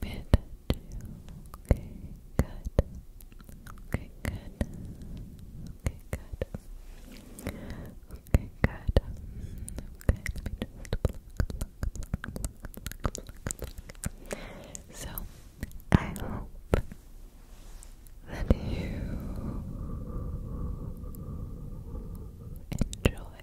Bit Okay, good. Okay, good. Okay, good. Okay, good. Okay, So, I hope that you enjoy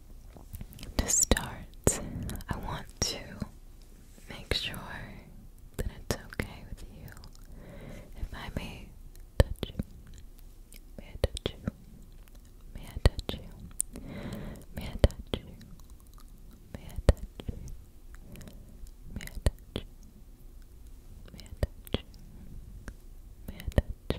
to start, I want to make sure that it's okay with you if I may touch you. May I touch you? May I touch you? May I touch you? May I touch you? May I touch you? May I touch you? May I touch you?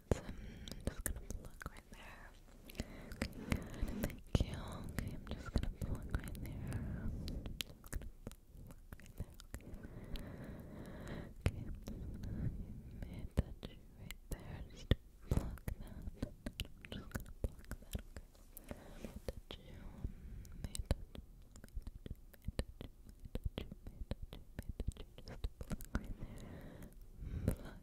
I'm just gonna pluck right there. Okay, thank you. Okay, I'm just gonna pluck right there. just going right there, okay. Okay, I'm gonna touch you right there. Just pluck that. just gonna pluck that, okay. touch you, may touch, may touch, may touch, may touch, may touch, may touch, just pluck right there. Pluck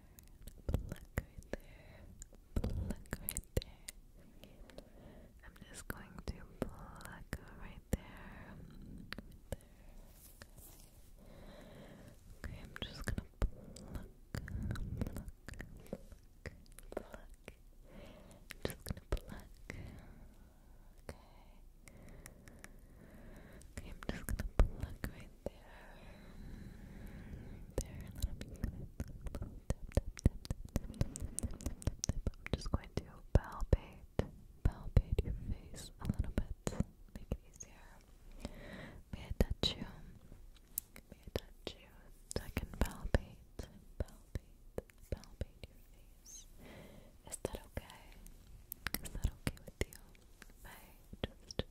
Pluck right there. Pluck right there. I'm just going to pluck right there. Okay. I'm just gonna pluck, pluck, pluck, pluck. I'm just gonna pluck. Okay. Okay, I'm just gonna pluck right there, and then I'm just going to palpate, palpate your face a little bit, make it easier. May I touch you? May I touch you? I can palpate, palpate, palpate your face. Is that okay? Is that okay with you? If just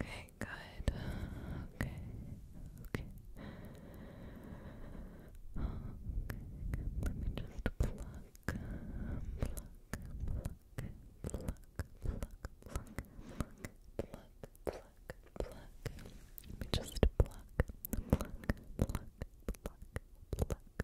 Okay, good. Okay, okay. Okay, let me just pluck, pluck, pluck, pluck, pluck, pluck, pluck, pluck, pluck. Let me just pluck, pluck, pluck, pluck, pluck,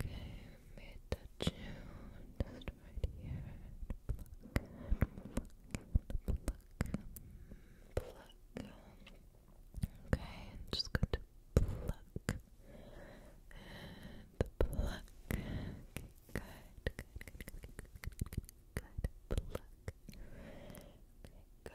Okay, mid touch you just right here. Pluck, pluck, pluck, pluck. Okay, just going to pluck and pluck. Okay, good, good, good, good, good, good. Pluck. Okay, good, good.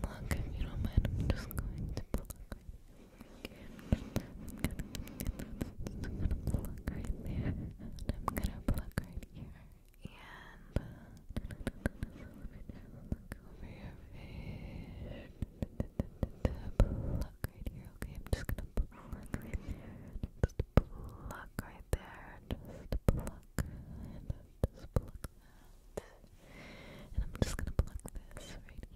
pluck, if you don't mind, I'm just going to pluck I'm gonna, pluck right there, I'm gonna pluck right here, and uh, over your face, pluck right here, okay, I'm just gonna pluck right there, pluck right there, just pluck, just pluck that. And I'm just gonna pluck this right here.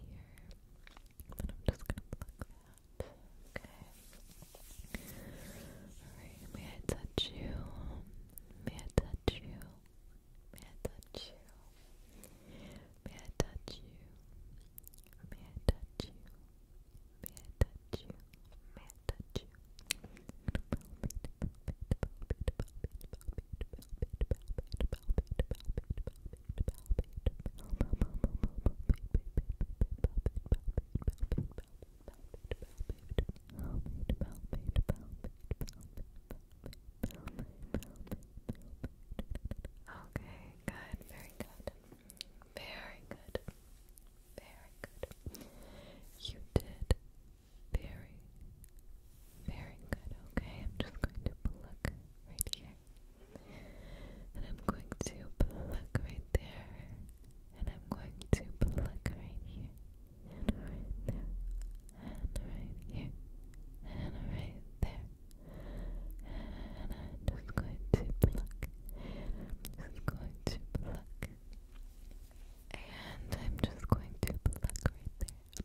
And I'm just gonna pluck that. Okay. Alright, May I touch you? May I touch you? May I touch you? May I touch you? May I touch you? May I touch you? May I touch you? Okay, good, very good. Very good. Very good. You did very, very good. Okay, I'm just going to pluck right here. And I'm going to pluck right there. And I'm going to pluck right here. And right there. And right here. And right there. And I'm just going to pluck. And I'm just going to pluck. And I'm just going to pluck right there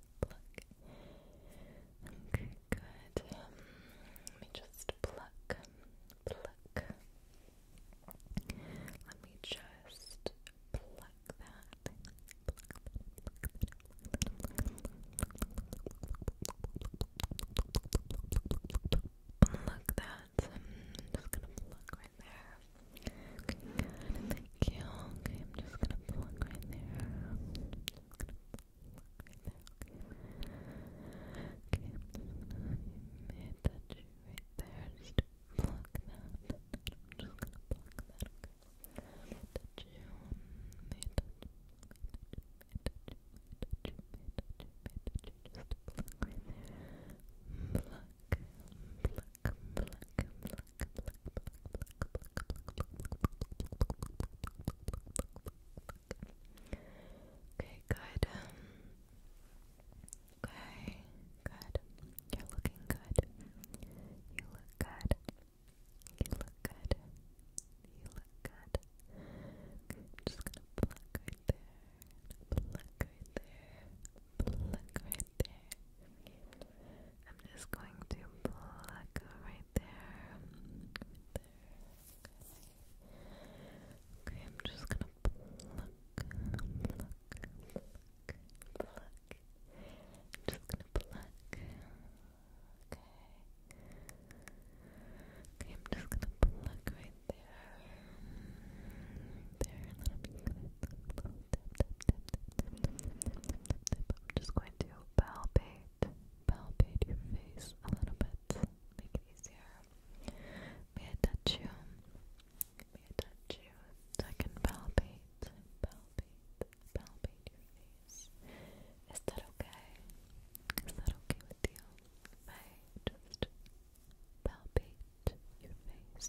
pluck. Okay, good. let me just pluck, pluck. Let me just pluck that. Pluck that. I'm just gonna pluck right there. Thank you. Okay, I'm just gonna plug right there. Okay. Okay, i you right there. Just plug that. I'm just gonna plug that. Touch you. touch. May touch. May touch. May touch. May Just plug right there. Pluck. Pluck. Pluck. Pluck. Okay, good. Okay, good. You're looking good. You look good. You look good. You look good. I'm just gonna pluck right there. Pluck right there. Pluck right there. I'm just going to pluck right there. Right there. Okay. I'm just gonna pluck, pluck, pluck, pluck. I'm just gonna pluck. Okay. Okay, I'm just gonna pluck right there. there, and then I'm just going I'm just going to palpate, palpate your face a little bit, make it easier. May I touch you? May I touch you? So I can palpate, palpate, palpate your face. Is that okay? Is that okay with you? If I just palpate your face.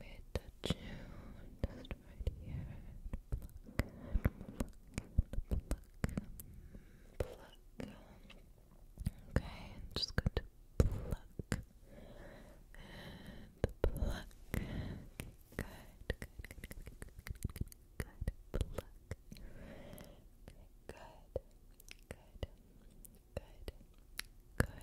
mid June, just right here. Pluck, pluck, pluck, pluck. Okay, I'm just going to pluck and pluck. good, good, good, good, good, Pluck. good, good, good, good. Good,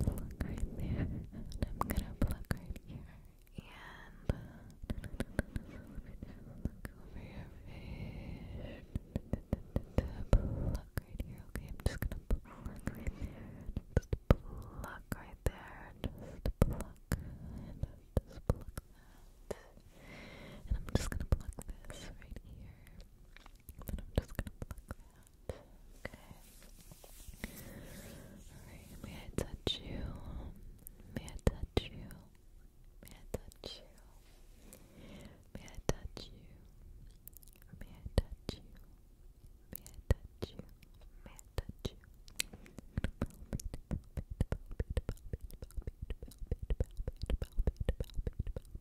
pluck right there, I'm gonna pluck right here, and look over your pluck right here, okay, I'm just gonna pluck right there, just pluck right there, just pluck, just pluck and I'm just gonna pluck this right here, and I'm just gonna pluck that. Okay. may I touch you? May I touch you? May I touch you? May I touch you? May I touch you? May I touch you? May I touch you?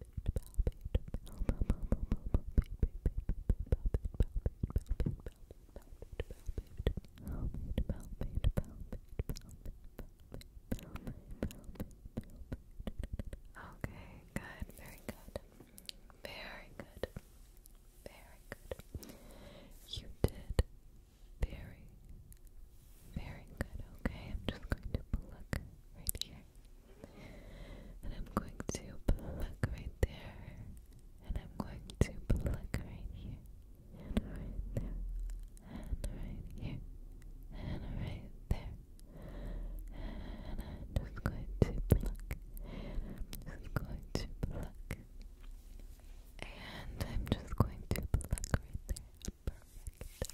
Okay, good, very good. Very good. Very good. You did very, very good. Okay, I'm just going to pluck right here. And I'm going to pluck right there. And I'm going to pluck right here. And right there. And right here. And right there. And I'm just going to pluck. And I'm just going to pluck. And I'm just going to pluck right there. Perfect.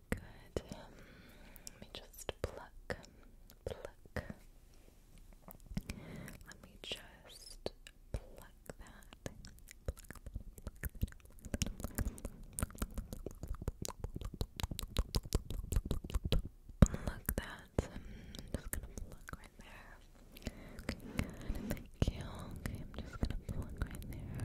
let me just pluck, pluck. Let me just pluck that. Pluck that. I'm just gonna pluck right there. Okay, Thank you. Okay, I'm just gonna pluck right there.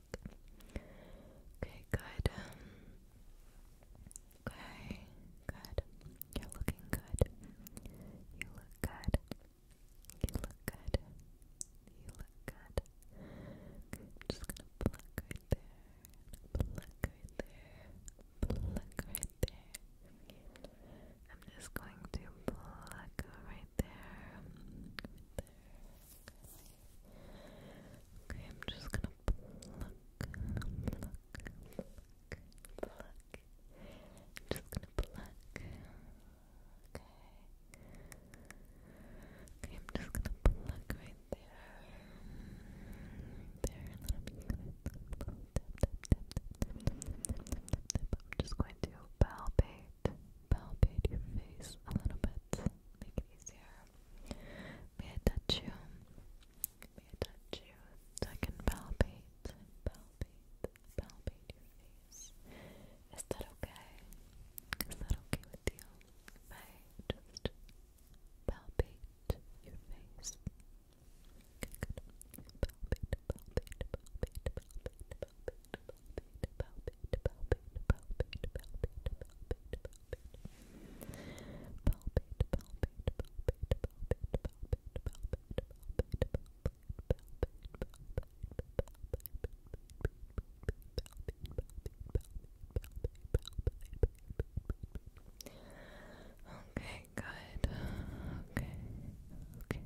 Okay, good. Okay, good. You're looking good. You look good. You look good. You look good. I'm just gonna pluck right there. Pluck right there. Pluck right there. I'm just going to pluck Right there. Okay, I'm just gonna pluck, pluck, pluck, pluck. I'm just gonna pluck. Okay. Okay, I'm just gonna pluck right there. There, and then I'm just gonna palpate palpate your face a little bit, make it easier. May I touch you? May I touch you so I can palpate, palpate, palpate your face. Is that okay? Is that okay with you? If I just palpate your face. Okay, palpate, palpate, palpate, palpate palpate, palpate, Okay, good. Okay, okay.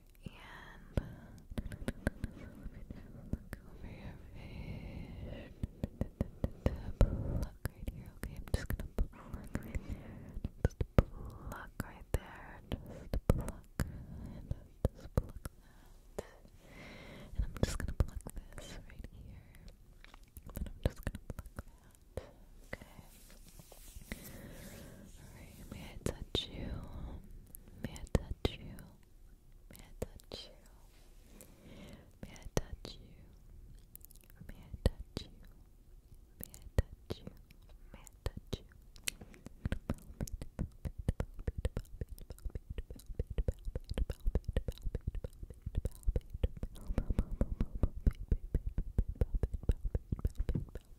and look over your face. Pluck right here, okay? I'm just gonna pluck right there. pluck right there. Just pluck just pluck that. And I'm just gonna pluck this right here. And I'm just gonna pluck that. Okay. Alright, May I touch you? May I touch you? May I touch you? May I touch you? May I touch you? May I touch you?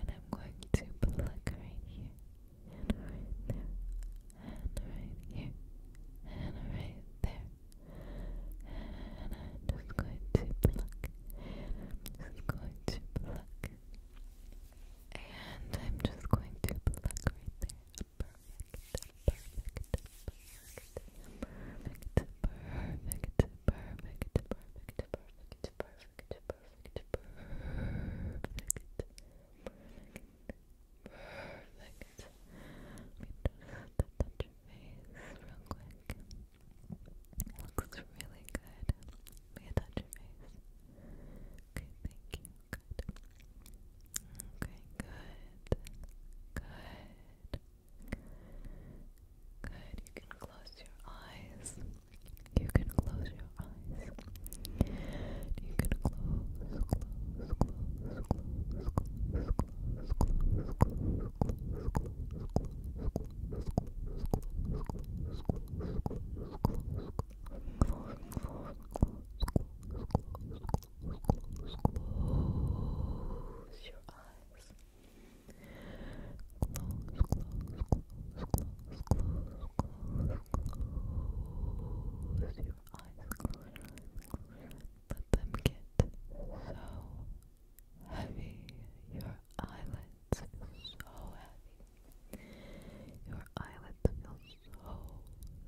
and I'm going to pluck right here, and right there, and right here, and right there, and I'm just going to pluck, and I'm just going to pluck, and I'm just going to pluck right there. Perfect, perfect, perfect, perfect, perfect, perfect, perfect, perfect, perfect perfect, perfect, perfect, perfect. Let me touch your face real quick. Looks really good. Let me touch your face. Okay, thank you. Good. Okay, Good. Good. Good. You can close your eyes. You can close your eyes. You can close, close, close, close, close, close, close, close, close, close, close. Close your eyes close your eyes, close your eyes. Let them get so heavy. Your eyelids feel so heavy. Your eyelids feel so,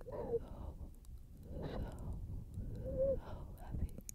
so, so, so heavy.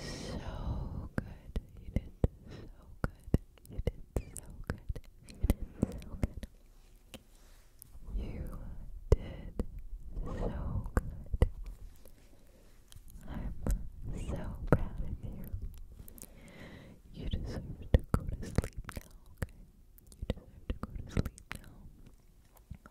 So good. You did so good. You did so good. You did so good. You did so good. I'm so proud of you. You deserve to go to sleep now, okay? You deserve to go to sleep now.